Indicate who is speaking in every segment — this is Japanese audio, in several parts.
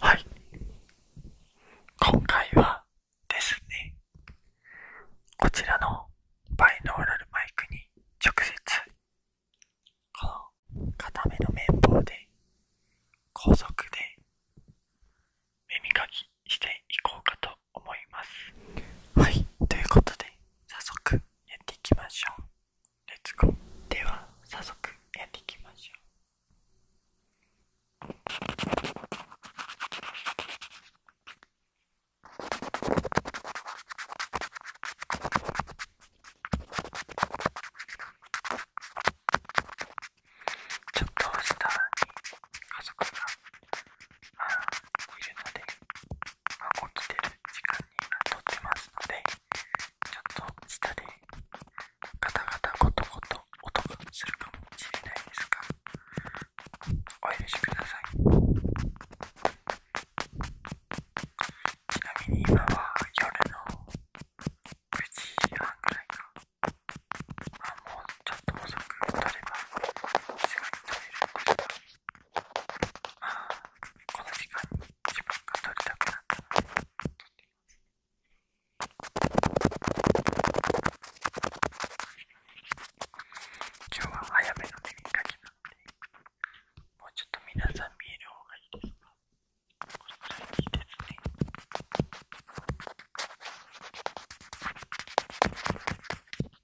Speaker 1: はい。今回はですね、こちらのバイノーラルマイクに直接、この固めの綿棒で、高速で耳かきしていこうかと思います。はい、ということで、早速やっていきましょう。レッツでは早速やっていきましょうちょっと下に家族があいるので、まあ、起きてる時間閉じますのでちょっと下でガタガタゴトゴト音がするかもしれないですがお許しくださいちなみに今は夜の9時半ぐらいかまあもうちょっと遅く撮ればすぐに撮れるんですああ、この時間に自分が撮りたくなったので今日は早めの耳かけなのでもうちょっと皆さん見える方がいいですかいいですね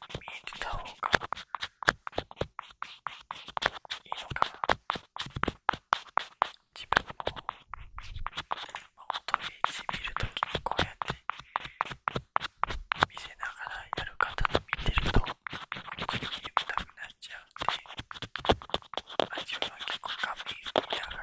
Speaker 1: に見えてた方がいいのかな自分も音に見るときにこうやって見せながらやる方と見てるとく口に見たくなっちゃうんで味は結構紙見ながら。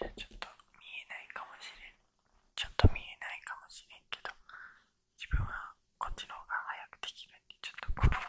Speaker 1: じゃあちょっと見えないかもしれんちょっと見えないかもしれんけど自分はこっちの方が早くできるんでちょっとこのよう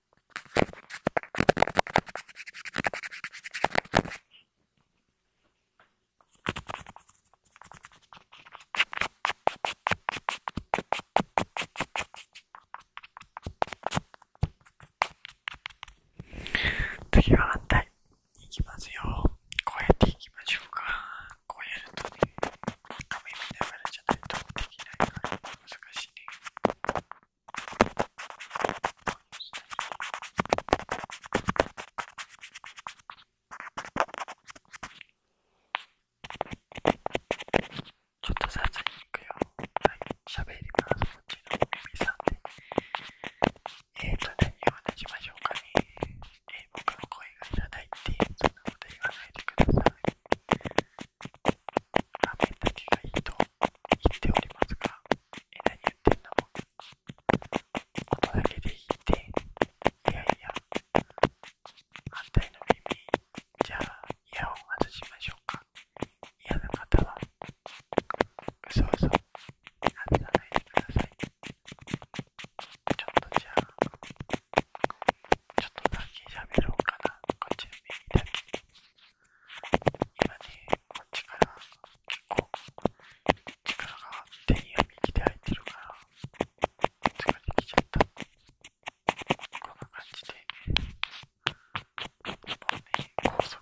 Speaker 1: 次は反対いきますよ。こうやっていきましょうか。こうやるとね。髪見ながらじゃないとできないから難しいね。ちょっとさ、雑に行くよ。はい、喋りからそっちの耳さんで。えーと、何を話しましょうかね。え僕の声がいらないって、そんなこと言わないでください。雨だけがいいと言っておりますが、え、何言ってんの音だけでいいって、いやいや、反対の耳、じゃあイヤホン外しましょうか。嫌な方は、うそう、嘘、外さないでください。ちょっとじゃあちょっとだけ先喋ろうかなこっちで右だけ今ねこっちから結構力が手って右で入いてるからこっ疲れてきちゃったこんな感じでもうね高速高速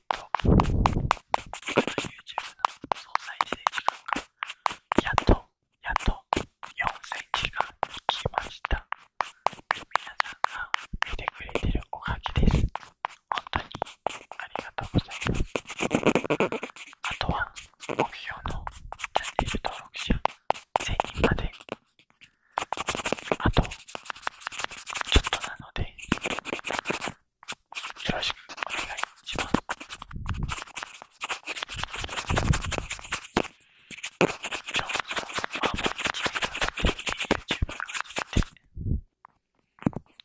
Speaker 1: と YouTube の総再生時間がやっとやっと4000時間いきました皆さんが見てくれてるおかげです本当にありがとうございますあとは目標のチャンネル登録者1 0人まであとちょっとなのでよろしくお願いします。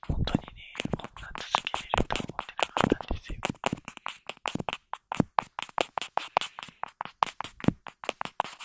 Speaker 1: 本当にね、こんな続けれると思ってなかったんですよ。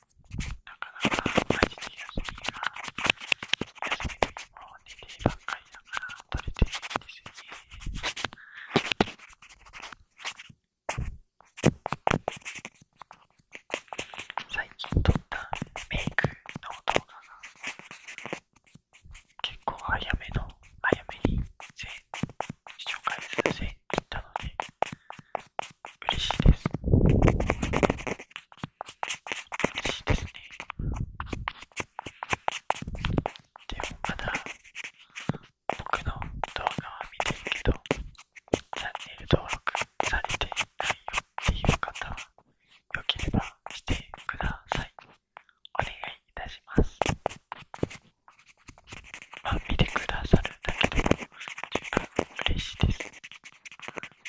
Speaker 1: なかなか毎日休みが、休みの日も寝てばっかりだから取れてないんですよね。最近撮ったメイクの動画が結構早めの、早めに、せ紹介するせいったので、嬉しいです嬉しいですねでもまだ僕の動画は見てるけどチャンネル登録されてないよっていう方はよければしてくださいお願いいたしますまあ見てくださるだけでも嬉しいです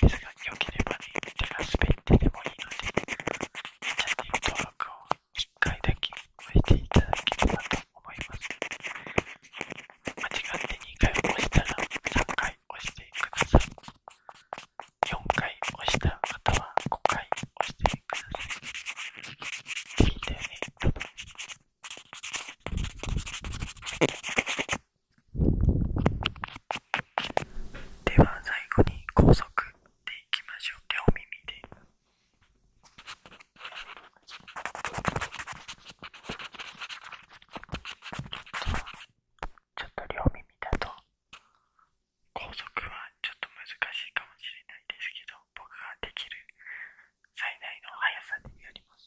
Speaker 1: ですが良ければねじゃあ滑ってでもいいのでチャンネル登録を1回だけ押していただければと思います間違って2回押したら3回押してください4回押した方は5回押してください聞いんよねでは最後に高速でいきましょう両耳で。ちょっと両耳だと高速はちょっと難しいかもしれないですけど僕ができる最大の速さでやります。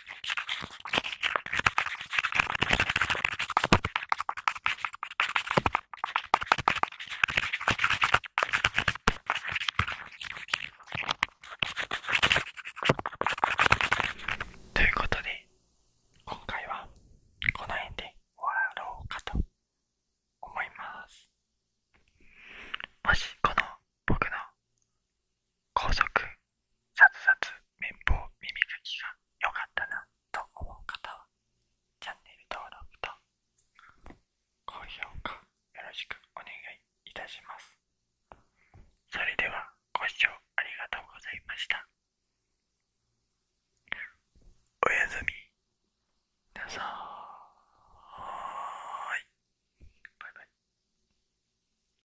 Speaker 1: ということで今回はこの辺で終わろうかと思いますもしこの僕の高速さつさつ綿棒耳かきがよかったなと思う方はチャンネル登録と高評価よろしくお願いいたしますそれではご視聴ありがとうございましたおやすみなさーいバイバイ